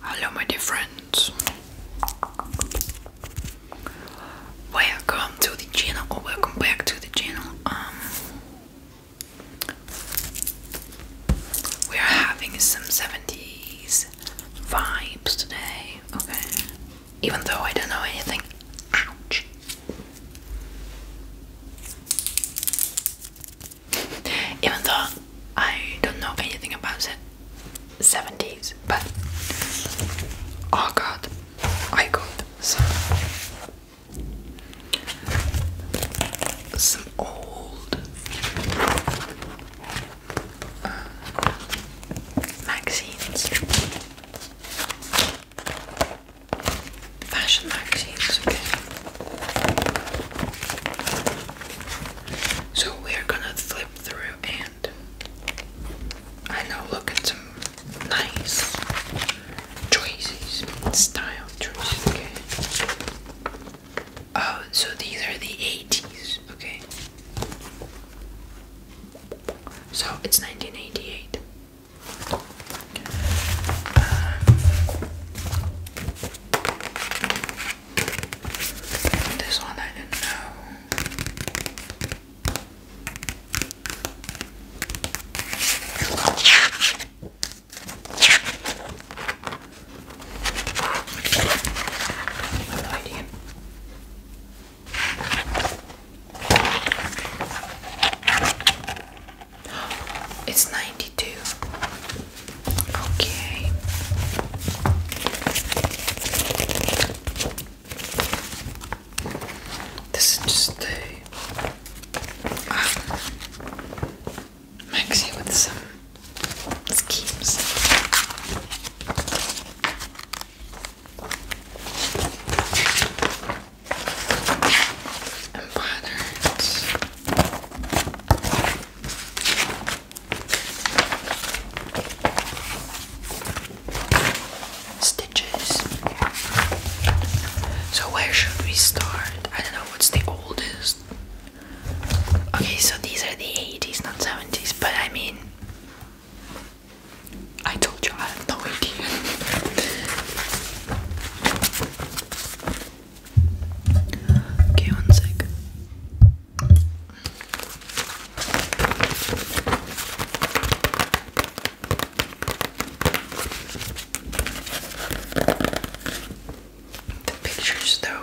Hello, my dear friends. Welcome to the channel, welcome back to the channel. Um, we are having some 70s vibes today, okay? even though I don't know anything. Ouch! Even though I don't know anything about the 70s, but oh god, I got some, some old uh, magazines. Fashion magazines, okay. So we're gonna flip through and I know look at some nice choices, style choices, okay. Oh, so these are the 80s, okay. So it's 1988. Um, this one I didn't know. no idea. It's 92. Okay. This is just the um, with some schemes patterns. Stitches. So, where should we start? I don't know what's the oldest. Okay, so these are the 80s, not 70s, but I mean, I told you I have no idea. okay, one The pictures, though,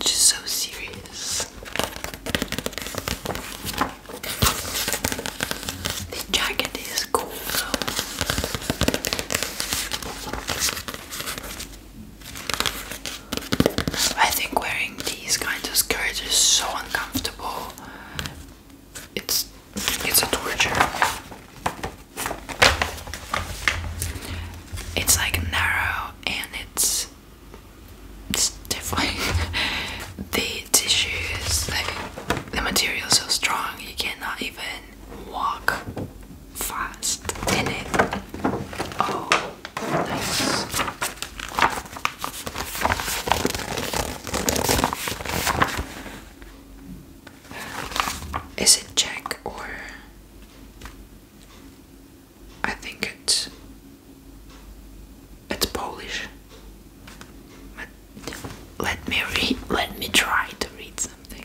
Just so serious. The jacket is cool I think wearing these kind of skirts is so uncomfortable. It's it's a torture. It's like narrow and it's stiff. the tissue is like the material is so strong you cannot even walk fast in it. Oh, nice. Is it Czech or I think it's it's Polish. let me read let me try to read something.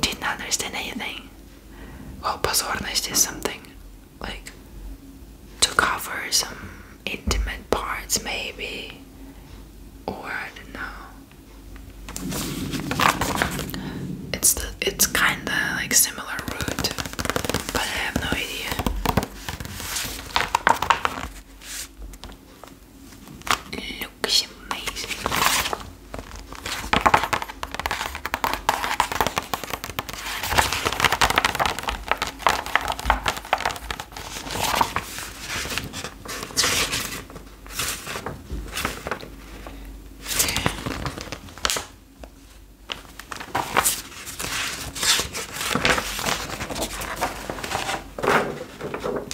didn't understand anything. Well, pozornost is something like to cover some intimate parts, maybe, or I don't know. It's the it's kinda like similar root, but I have no idea looks amazing.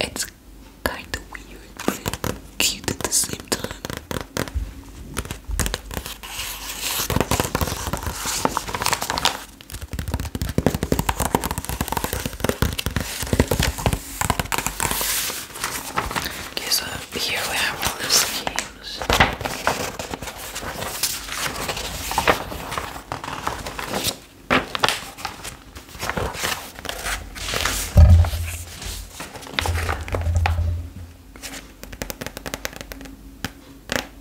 it's kind of weird but cute at the same time. Okay, so here we have all the schemes.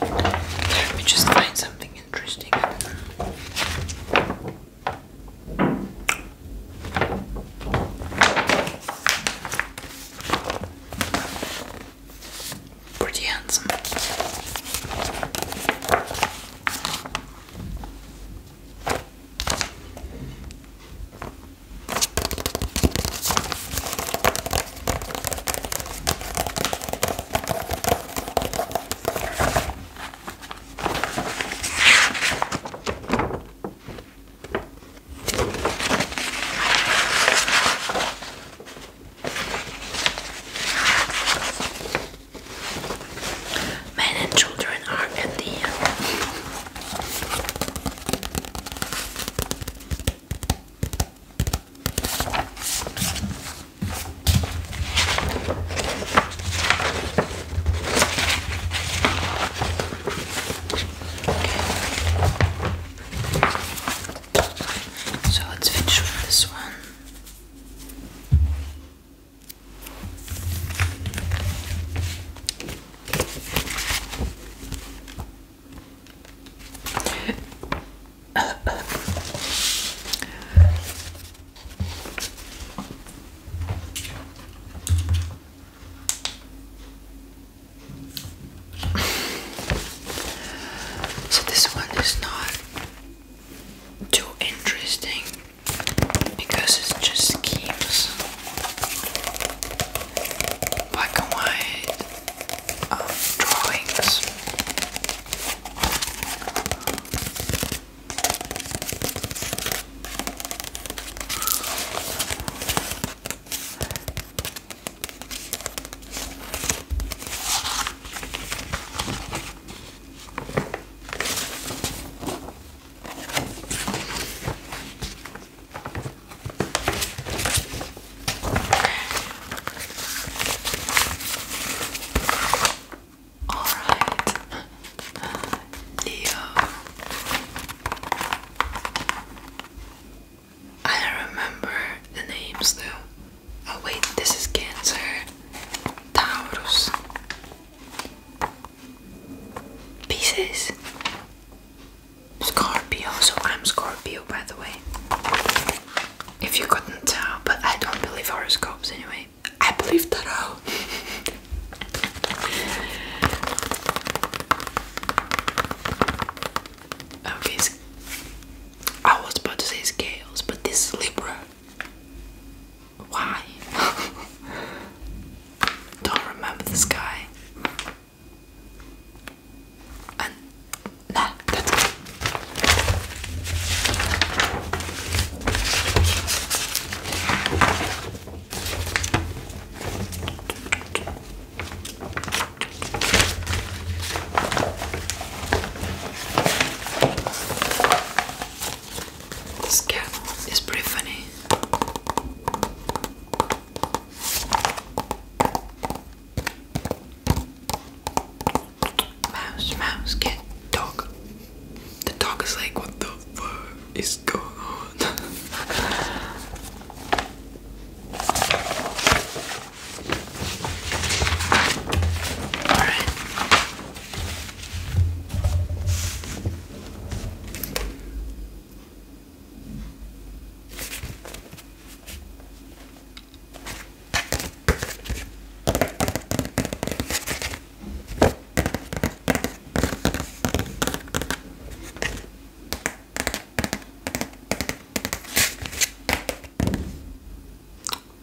Let me just find something interesting. Pretty handsome. Men and children are at the end. Okay. So let's finish with this one so this one is not too interesting because it's just schemes black and white um, drawings. All right, Leo. I remember the names though. Oh wait, this is Cancer. Taurus. Pieces. Scorpio, so I'm Scorpio by the way. If you couldn't tell, but I don't believe horoscopes anyway. I believe that tarot. okay, I was about to say scales, but this is Libra. Why? don't remember this guy that's This cat is pretty funny. Mouse, mouse, get dog. The dog is like, what the fuck is going on? Alright.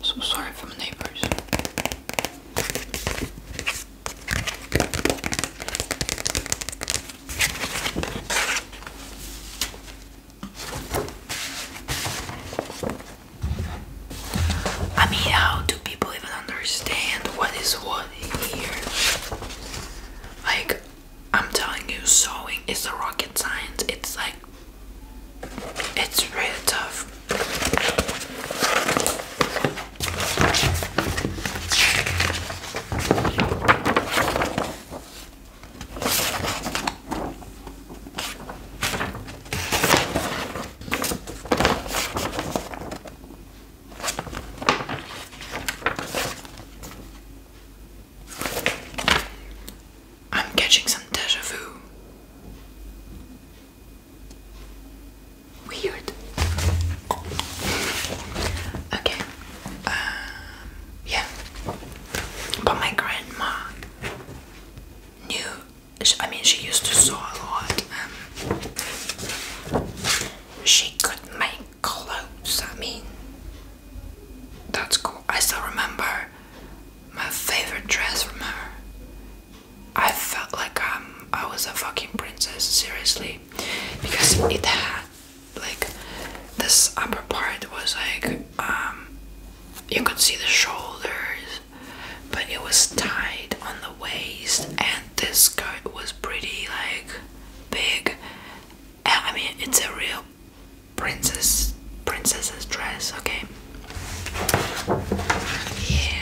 So sorry for my neighbors. I mean, how do people even understand what is what here? Like, I'm telling you, sewing is a rocket science. It's like, it's really tough. I'm catching some deja vu. Weird. Okay, um, yeah. But my grandma knew. I mean, she used to sew a lot. Um, she could make clothes. I mean, that's cool. I still remember my favorite dress from her. I felt like um, I was a fucking princess, seriously, because it had like this upper part was like um, you could see the shoulders but it was tight on the waist and this skirt was pretty like big I mean it's a real princess princess's dress okay yeah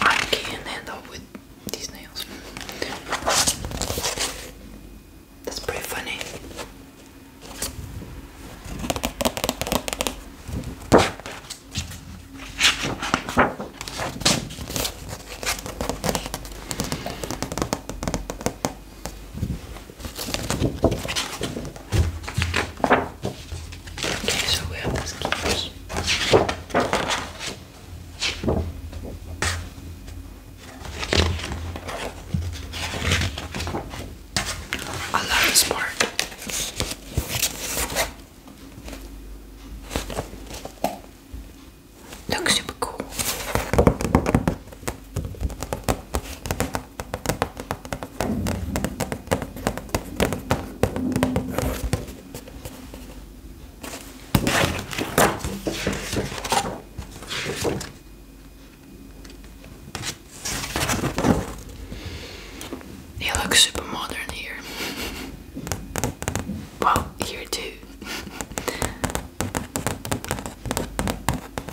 I can't handle with these nails. That's pretty funny. Okay, so we have these keepers. I love this part. Looks super cool. It looks super modern here. Well, here too.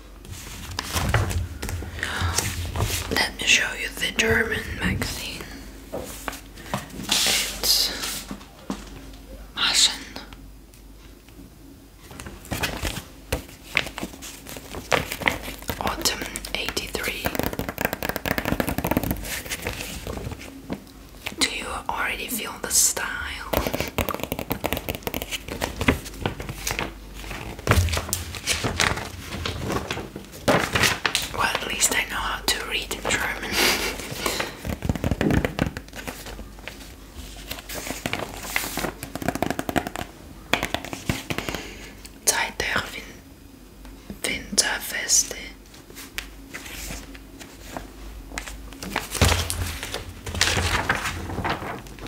Let me show you the German magazine. It's Massen. Autumn 83. Do you already feel the style? Well, at least I know how to read German. Zeit der Winterfeste.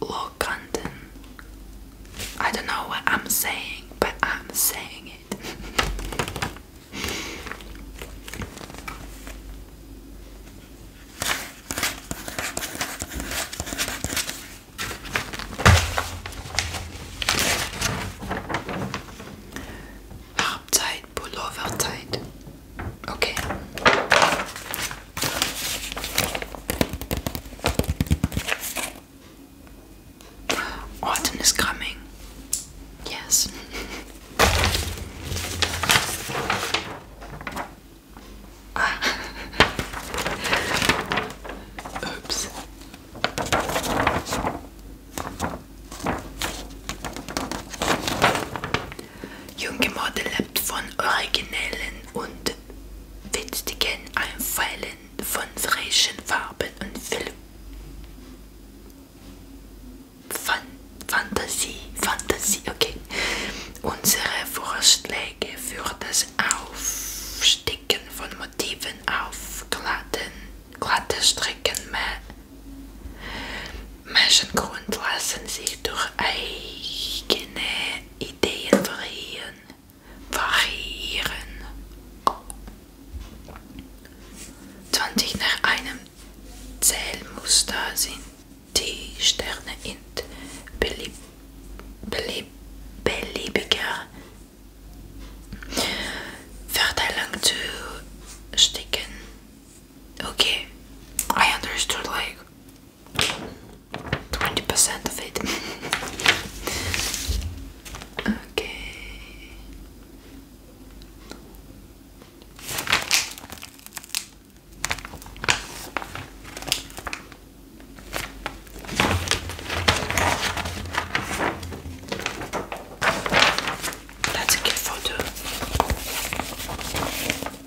low content. I don't know what I'm saying, but I'm saying it. Halbzeit, Pullover Zeit. Okay. Autumn is coming. Yes. Oops. Junge Model lebt von originellen und witzigen Einfällen von frischen Farben und viel Fan Fantasie, Fantasie, okay. Unsere Vorschläge für das Aufsticken von Motiven auf glatten, glatte Strecken mehr Mensengrund lassen zich door eigen ideeën variëren. variëren. 20 nach einem Zählmuster sind die Sterne in belieb beliebiger Verteilung zu sticken. Okay, I understood like 20% of it. okay. That's a good photo.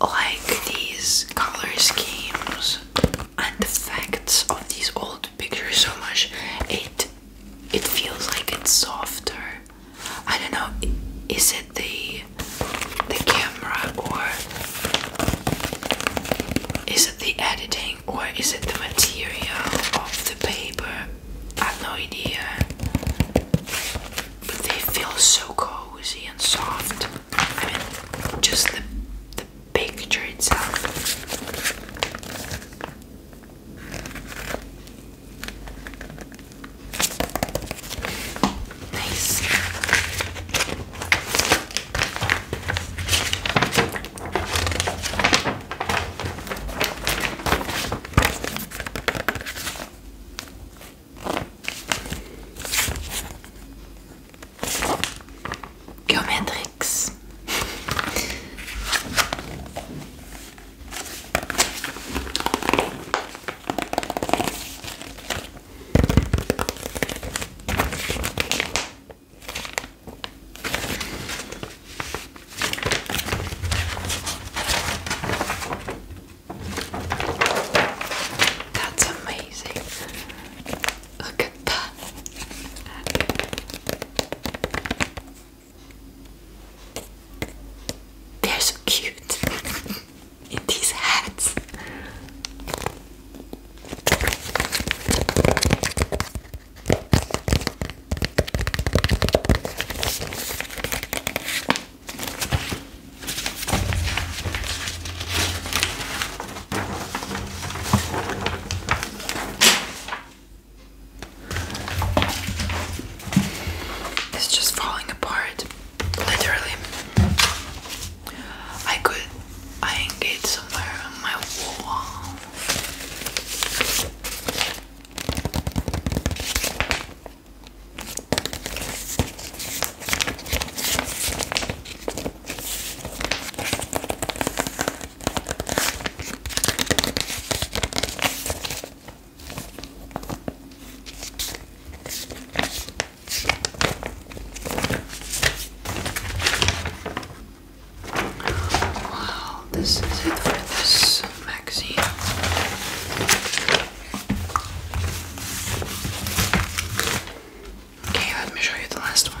I like these color schemes and the facts of these old pictures so much. It it feels like it's softer. I don't know. Is it the the camera or is it the editing or is it the material of the paper? I have no idea. But they feel so cozy and soft. I mean, just the the picture itself. Nice. Geometrix. That's amazing. Look at that. They're so cute in these hats. It's just falling apart, literally. I could hang it somewhere on my wall. Wow, this is it for this magazine. Okay, let me show you the last one.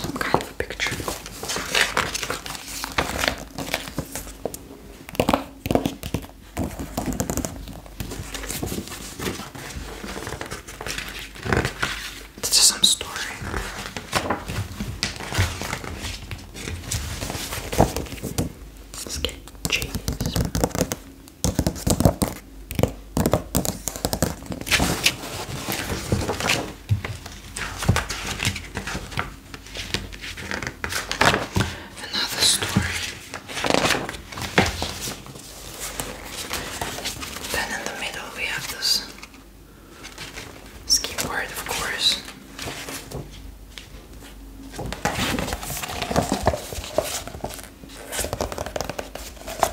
Some kind of picture. It's just some story. Let's get cheese. Another story. Then in the middle we have this ski of course.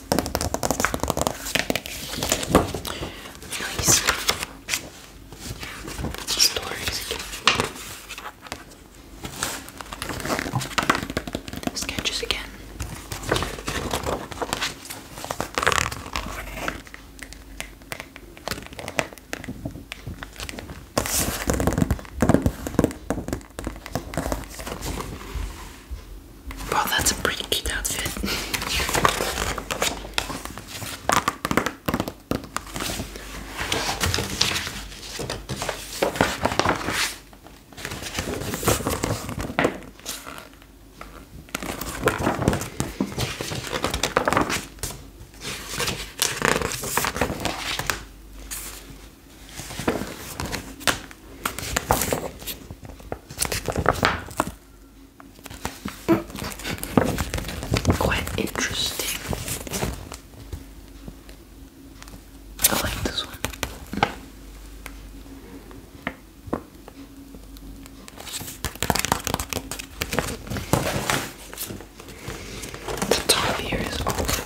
Nice stories. Sketches again. Well, that's a pretty cute outfit. Quite interesting. I like this one. The top here is off.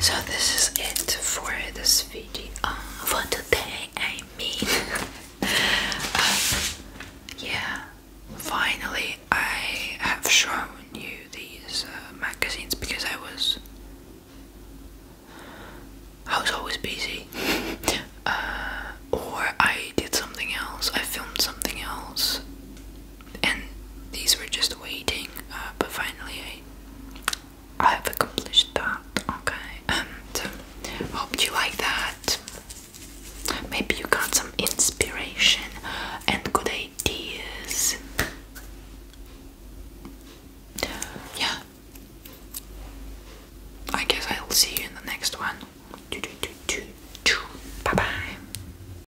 So this is it for this video for uh, today. I mean, uh, yeah. Finally, I have shown you these uh, magazines because I was I was always busy, or I did something else. I filmed something else and these were just waiting, uh, but finally I, I have accomplished that. Okay, um, so hope you like that. Maybe you got some inspiration and good ideas. Yeah. I guess I'll see you in the next one. Bye bye.